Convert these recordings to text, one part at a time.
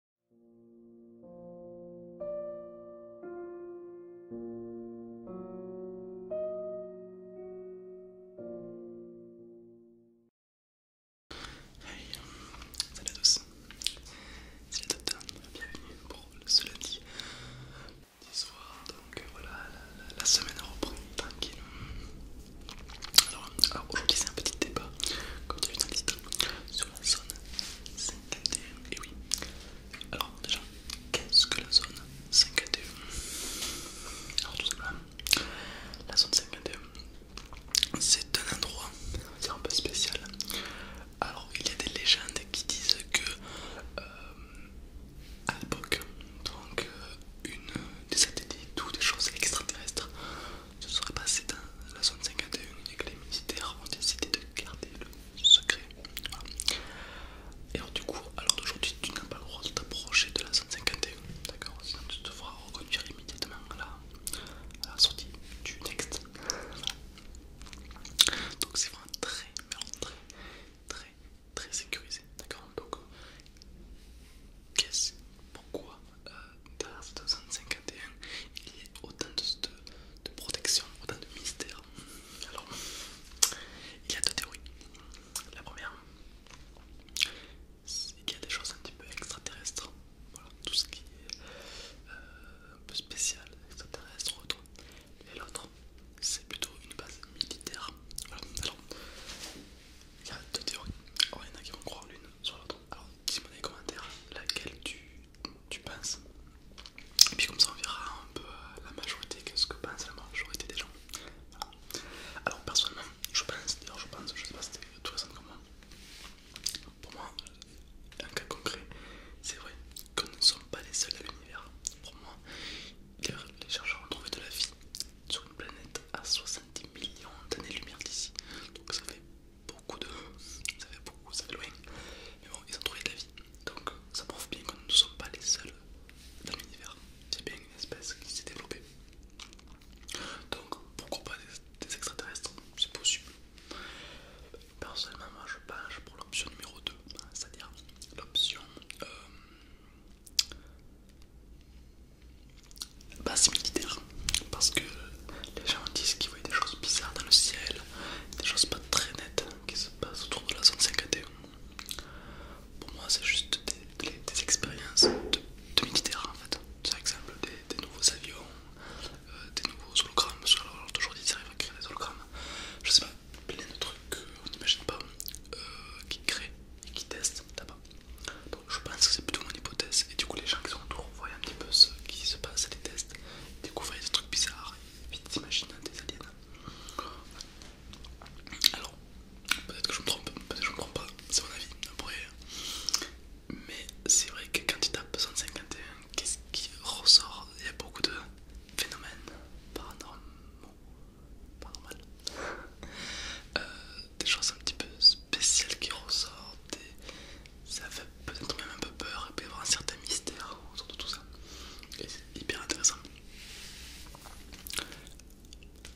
Hey, salut à tous, c'est le Top bienvenue pour le lundi, du soir, donc euh, voilà, la, semaine reprend tranquille. Alors, euh, ok, c'est un petit débat, comme tu as vu dans le titre, zone 51, Et oui, alors déjà, qu'est-ce que la zone 5 Alors, tout simplement, la zone 5 c'est un endroit un peu spécial. Alors, il y a des légendes qui disent que euh, à l'époque, donc euh, une des satellites ou des choses extraterrestres ce serait passé dans la zone 51 que les militaires ont décidé de garder le secret. Et alors, du coup, alors d'aujourd'hui, tu n'as pas le droit de t'approcher de la zone 51, d'accord Sinon, tu devras reconduire immédiatement à la, sortie du next Donc, c'est vraiment très, très, très, très sécurisé, d'accord Donc, qu'est-ce, pourquoi dans derrière cette 251, il y a autant de, protection, autant de mystère. Alors, il y a deux théories. La première, c'est qu'il y a des choses un petit peu extraterrestres. Voilà, tout ce qui est euh, un peu spécial, extraterrestre ou Et l'autre, c'est plutôt une base militaire. alors, il y a deux théories. Oh, il y en a qui vont croire l'une sur l'autre. Alors dis-moi dans les commentaires laquelle tu, penses. Et puis comme ça on verra un peu la majorité, qu'est-ce que pense la majorité des gens. Alors personnellement, je pense, d'ailleurs je pense, je sais pas si t'es tout ça comme moi, pour moi, un cas concret, c'est vrai que nous ne sommes pas les seuls à l'univers. Pour moi, les chercheurs ont trouvé de la vie sur une planète à 70 millions d'années-lumière d'ici. Donc ça fait beaucoup de... ça fait beaucoup, ça fait loin. Mais bon, ils ont trouvé de la vie. Donc ça prouve bien que nous ne sommes pas les seuls dans l'univers. C'est bien une espèce qui s'est développée. Donc pourquoi pas des, extraterrestres C'est possible. Personnellement, moi je penche pour l'option numéro 2, c'est-à-dire l'option euh, c'est bah, militaire parce que les gens disent qu'ils voient des choses bizarres dans le ciel, des choses pas très nettes qui se passent autour de la zone 5 Pour moi, c'est juste des, expériences de, militaire militaires en fait. Par exemple, des, nouveaux avions, euh, des nouveaux hologrammes. Parce que, alors, ils arrivent à créer des hologrammes. Je sais pas, plein de trucs qu'on n'imagine pas euh, qui créent et qui testent là-bas. Donc je pense que c'est plutôt mon hypothèse. Et du coup, les gens qui sont autour voient un petit peu ce qui se passe, les tests, découvrent des trucs bizarres, et vite s'imaginent des aliens. Alors, peut-être que je me trompe, peut-être que je me trompe pas, c'est mon avis, après. Mais c'est vrai que quand tu tapes 151, qu'est-ce qui ressort Il y a beaucoup de phénomènes paranormaux, paranormal, euh, des choses un petit peu spécial qui ressort, et ça fait peut-être même un peu peur, et peut y avoir un certain mystère autour de tout ça. c'est hyper intéressant.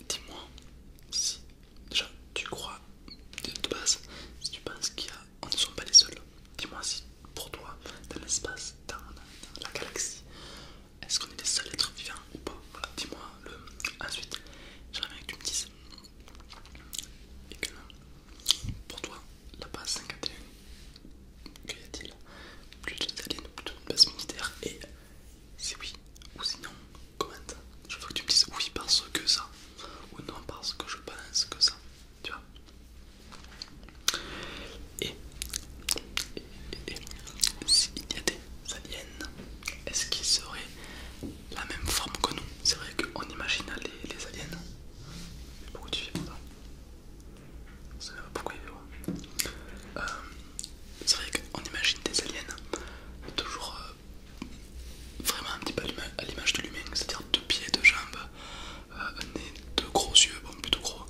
Dis-moi si déjà tu crois de base, si tu penses qu'il y a, on ne sont pas les seuls. Dis-moi si pour toi, dans l'espace, dans la galaxie, est-ce qu'on est des seuls êtres vivants ou pas dis-moi le. Ensuite, j'aimerais bien que tu me dises. Et que non. Pour toi, la base 51, que y a-t-il Plus de ou plutôt une base militaire Et c'est oui ou sinon, commente. Je veux que tu me dises oui parce que ça, ou non parce que je pense que ça. Tu vois Et s'il y a des aliens, est-ce qu'ils seraient la même forme que nous C'est vrai qu'on imagine les, aliens. pourquoi tu pourquoi euh, C'est vrai qu'on imagine des aliens toujours euh, vraiment un petit peu à l'image de l'humain, c'est-à-dire deux pieds, deux jambes, euh, un nez, deux gros yeux, bon plutôt gros,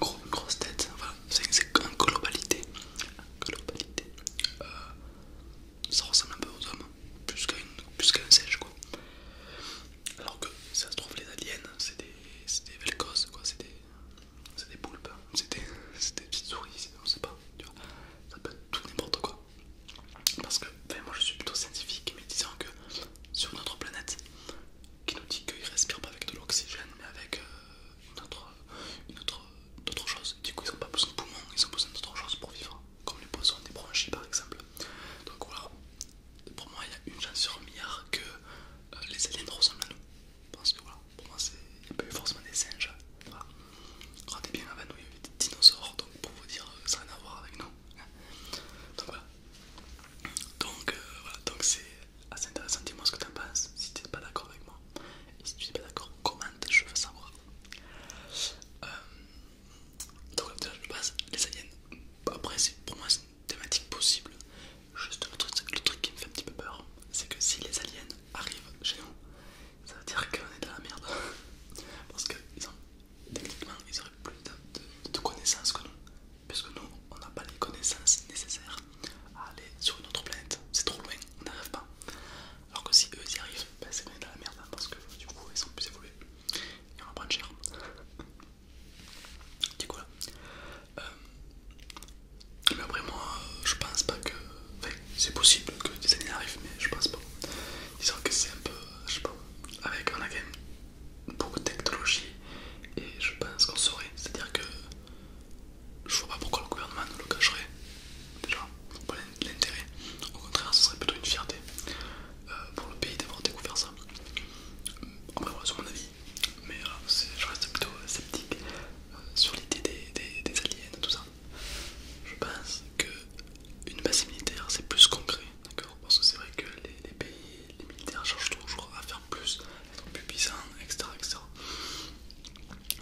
gros, une grosse tête, voilà, c'est qu'en globalité, globalité euh, ça ressemble un peu aux hommes, plus qu'à un singe quoi. Alors que ça se trouve, les aliens, c'est des, des velcos quoi, c'est des, des poulpes, hein. c'est des, petites souris, on sait pas, ça peut être tout n'importe quoi. Parce que, ben, moi je suis plutôt scientifique, mais disant que sur notre planète, qui nous dit qu'il respire pas avec de l'oxygène mais avec euh, une autre, une autre, chose. Du coup, ils ont pas besoin de poumons, ils ont besoin d'autre chose pour vivre, comme les poissons, des bronchies par exemple. Donc voilà, pour moi, il y a une chance sur un milliard que euh, les aliens ressemblent à nous. Parce que voilà, pour moi, il n'y a pas eu forcément des singes. Regardez bien avant nous, il y avait des dinosaures, donc pour vous dire, euh, ça n'a rien à voir avec nous. Hein. Donc voilà, donc euh, c'est ah, c'est intéressant, dis-moi ce que t'en penses si t'es pas d'accord avec moi. Et si tu n'es pas d'accord, commente, je veux savoir. Euh, donc donc, je passe les aliens. Après, pour moi, c'est une thématique possible. Juste le truc, qui me fait un petit peu peur, c'est que si les aliens arrivent chez nous, ça veut dire qu'on est dans la merde. Parce que techniquement, ils auraient plus de connaissances que nous. Puisque nous, on n'a pas les connaissances nécessaires à aller sur une autre planète, c'est trop loin, on n'arrive pas. Alors que si eux ils y arrivent, c'est ben, c'est bien dans la merde hein, parce que du coup ils sont plus évolués et on va prendre cher. du coup là. Euh, mais après moi je pense pas que. Enfin, c'est possible que des années arrivent, mais je pense pas. Disons que c'est un peu. Je sais pas. Avec on a quand même beaucoup de technologie et je pense qu'on saurait. C'est-à-dire que je vois pas pourquoi le gouvernement nous le cacherait. Déjà, pour pas l'intérêt. Au contraire, ce serait plutôt une fierté euh, pour le pays d'avoir découvert ça. En vrai, c'est mon avis, mais euh, je reste plutôt euh, sceptique sur l'idée des, aliens et tout ça. Je pense qu'une base militaire c'est plus concret, d'accord Parce que c'est vrai que les, les pays, les militaires cherchent toujours à faire plus plus puissants, etc. etc.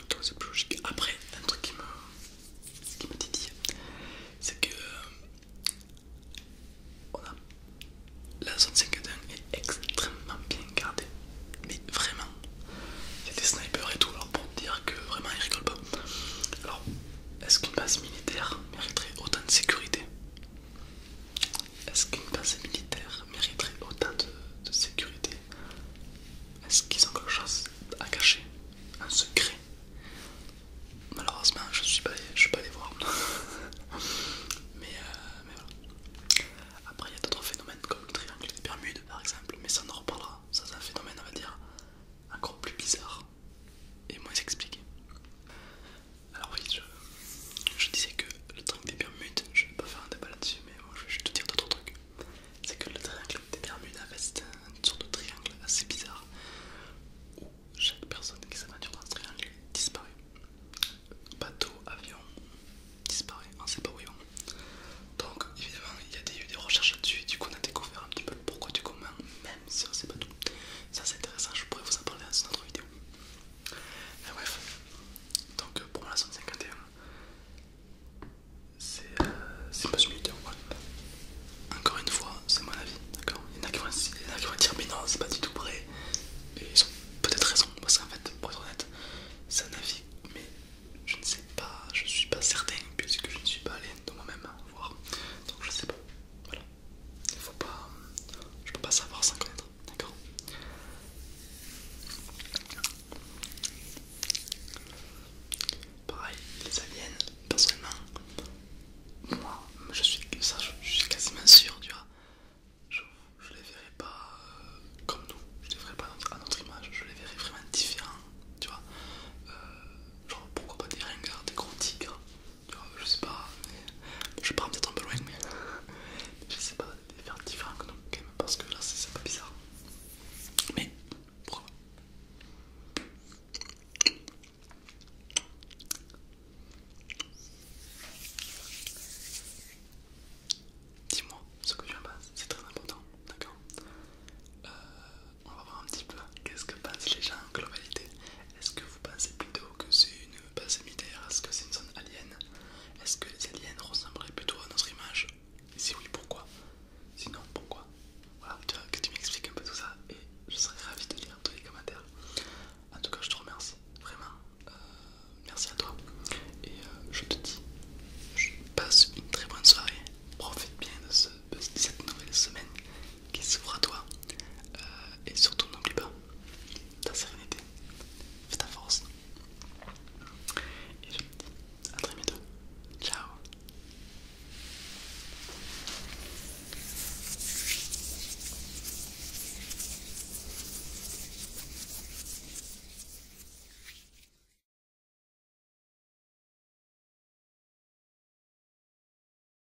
Donc c'est plus logique. Après, un truc qui me, dit c'est que la zone 51 est extrêmement bien gardée, mais vraiment. Il y a des snipers et tout, alors pour te dire que vraiment ils rigolent pas. Alors, est-ce qu'une base militaire mériterait autant de sécurité est-ce qu'une pensée militaire mériterait autant de, sécurité Est-ce qu'ils ont quelque chose à cacher Un secret Malheureusement, je ne suis, pas allé voir. mais, euh, mais voilà. Après, il y a d'autres phénomènes comme le triangle des Bermudes, par exemple, mais ça on en reparlera. Ça, c'est un phénomène, on va dire, encore plus bizarre et moins expliqué. Alors oui, je, disais que le triangle des Bermudes, je vais pas faire un débat là-dessus, mais moi je vais juste te dire d'autres trucs. C'est que le triangle des Bermudes, c'est une sorte de triangle assez bizarre où chaque personne qui s'aventure dans ce triangle disparaît. Bateau, avion, disparaît, on hein, sait pas où Donc évidemment, il y a des, eu des recherches là-dessus, du coup on a découvert un petit peu le pourquoi du comment même si on sait pas tout. Ça c'est intéressant, je pourrais vous en parler dans une autre vidéo. Mais bref, donc euh, pour la 151, c'est euh, c'est pas subité Encore une fois, c'est mon avis, d'accord il, y en a qui vont dire, mais non, c'est pas du tout vrai, Et ils ont peut-être raison, parce qu'en fait, pour être honnête, c'est un avis, mais je ne sais pas, je suis pas certain, puisque je ne suis pas allé de moi-même voir. Donc je sais pas, voilà. Il faut pas, je peux pas savoir sans connaître. D'accord Pareil, les aliens, personnellement, moi, je suis, ça, je, suis quasiment sûr, tu vois. Je, les verrai pas euh, comme nous, je les verrai pas à notre image, je les verrai vraiment différents, tu vois. Euh, genre, pourquoi pas des ringards, des gros tigres, Oh, je sais pas, je pars peut-être un peu loin, mais je sais pas, faire différent que dans le même, parce que là c'est pas bizarre. Mais pourquoi Dis-moi ce que tu en penses, c'est très important, d'accord euh, On va voir un petit peu qu'est-ce que pensent les gens en globalité. Est-ce que vous pensez plutôt que c'est une est-ce que c'est une zone alien Est-ce que les aliens ressembleraient plutôt à notre image Et si oui, pourquoi Sinon, pourquoi Voilà, tu vois, que tu m'expliques un peu tout ça et je serais ravi de lire tous les commentaires. En tout cas, je te remercie vraiment. Euh, merci à toi. Et euh, je te dis, passe une très bonne soirée. Profite bien de, cette nouvelle semaine qui s'ouvre à toi. Euh, et surtout, n'oublie pas, ta sérénité, fais ta force. Et je te dis à très bientôt. Ciao